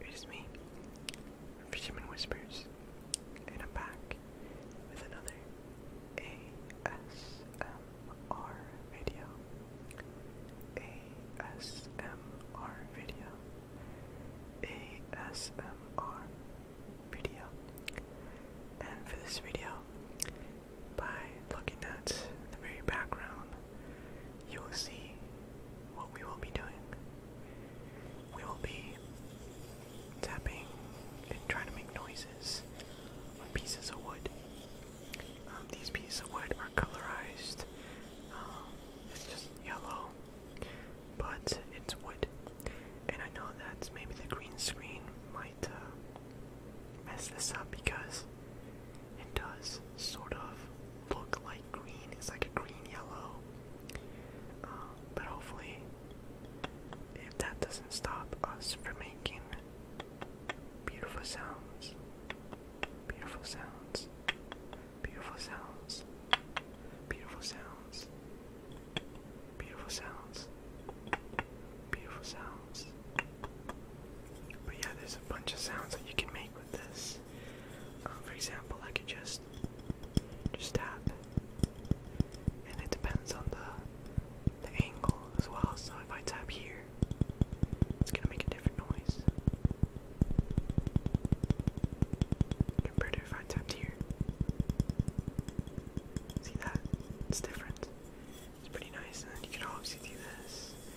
It is me, Fisherman Whispers, and I'm back with another ASMR video. ASMR video. ASMR video. And for this video, by looking at the very background you will see what we will be doing. We will be tapping and trying to make noises on pieces of wood. Um, these pieces of wood are colorized. Um, it's just yellow, but it's wood. And I know that maybe the green screen might uh, mess this up because it does sort of look like green. It's like a green yellow. Um, but hopefully, if that doesn't stop us from making beautiful sounds, beautiful sounds, beautiful sounds, beautiful sounds, beautiful sounds, beautiful sounds. But yeah, there's a bunch of sounds that you can make with this. Uh, for example, I could just just tap, and it depends on the the angle as well. So if I tap here, it's gonna make a different noise compared to if I tapped here. See that? It's different. It's pretty nice, and you can obviously do this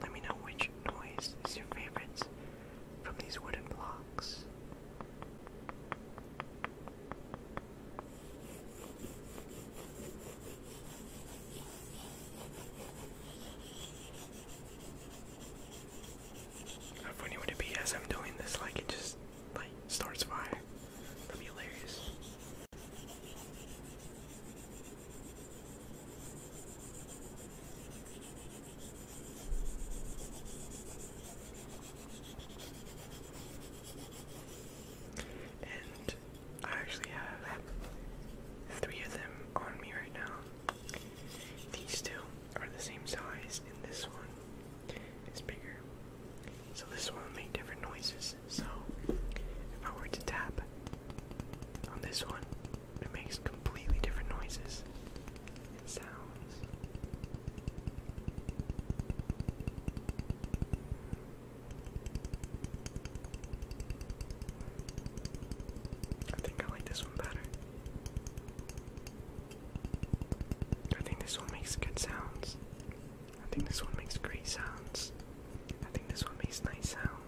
Let me know which noise is your favorite from these wooden blocks. How funny would it be as I'm doing this, like it just like starts fire? That'd be hilarious. And I actually have three of them on me right now. These two are the same size, and this one is bigger. So this one will make different noises. So if I were to tap on this one, it makes completely different noises and sounds. I think I like this one better. I think this one makes good sounds. I think this one makes great sounds. I think this one makes nice sounds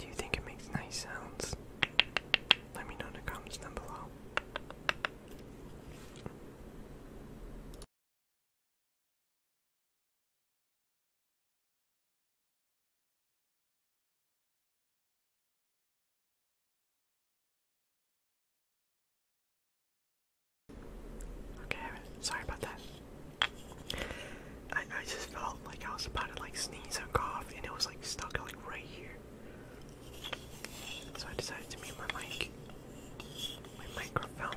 Do you think it makes nice sounds? Let me know in the comments down below. Okay, sorry about that. I, I just felt like I was about to like sneeze or cough and it was like stuck like right here. So I decided to mute my mic. My microphone.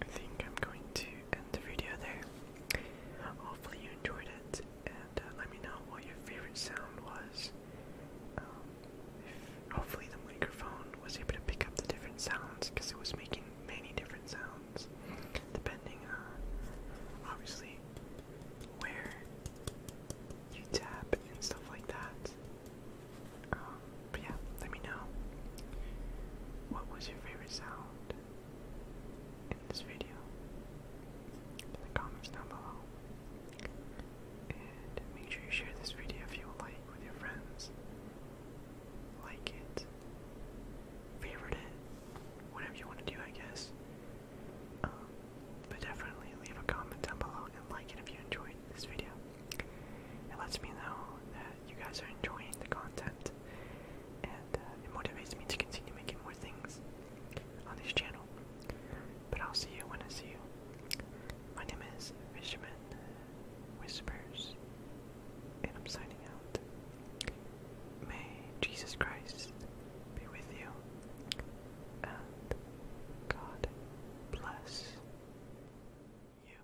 I think I'm going to end the video there. Hopefully you enjoyed it, and uh, let me know what your favorite sound was. Um, hopefully the microphone was able to pick up the different sounds because it was making many different sounds, depending on obviously where you tap and stuff like that. Um, but yeah, let me know what was your favorite sound in this video in the comments down below. And make sure you share this video if you like with your friends. Like it, favorite it, whatever you want to do, I guess. Um, but definitely leave a comment down below and like it if you enjoyed this video. It lets me know that you guys are enjoying the content, and uh, it motivates me to continue making more things on this channel. But I'll see you when I see you. My name is Fisherman Whispers, and I'm signing out. May Jesus Christ be with you, and God bless you.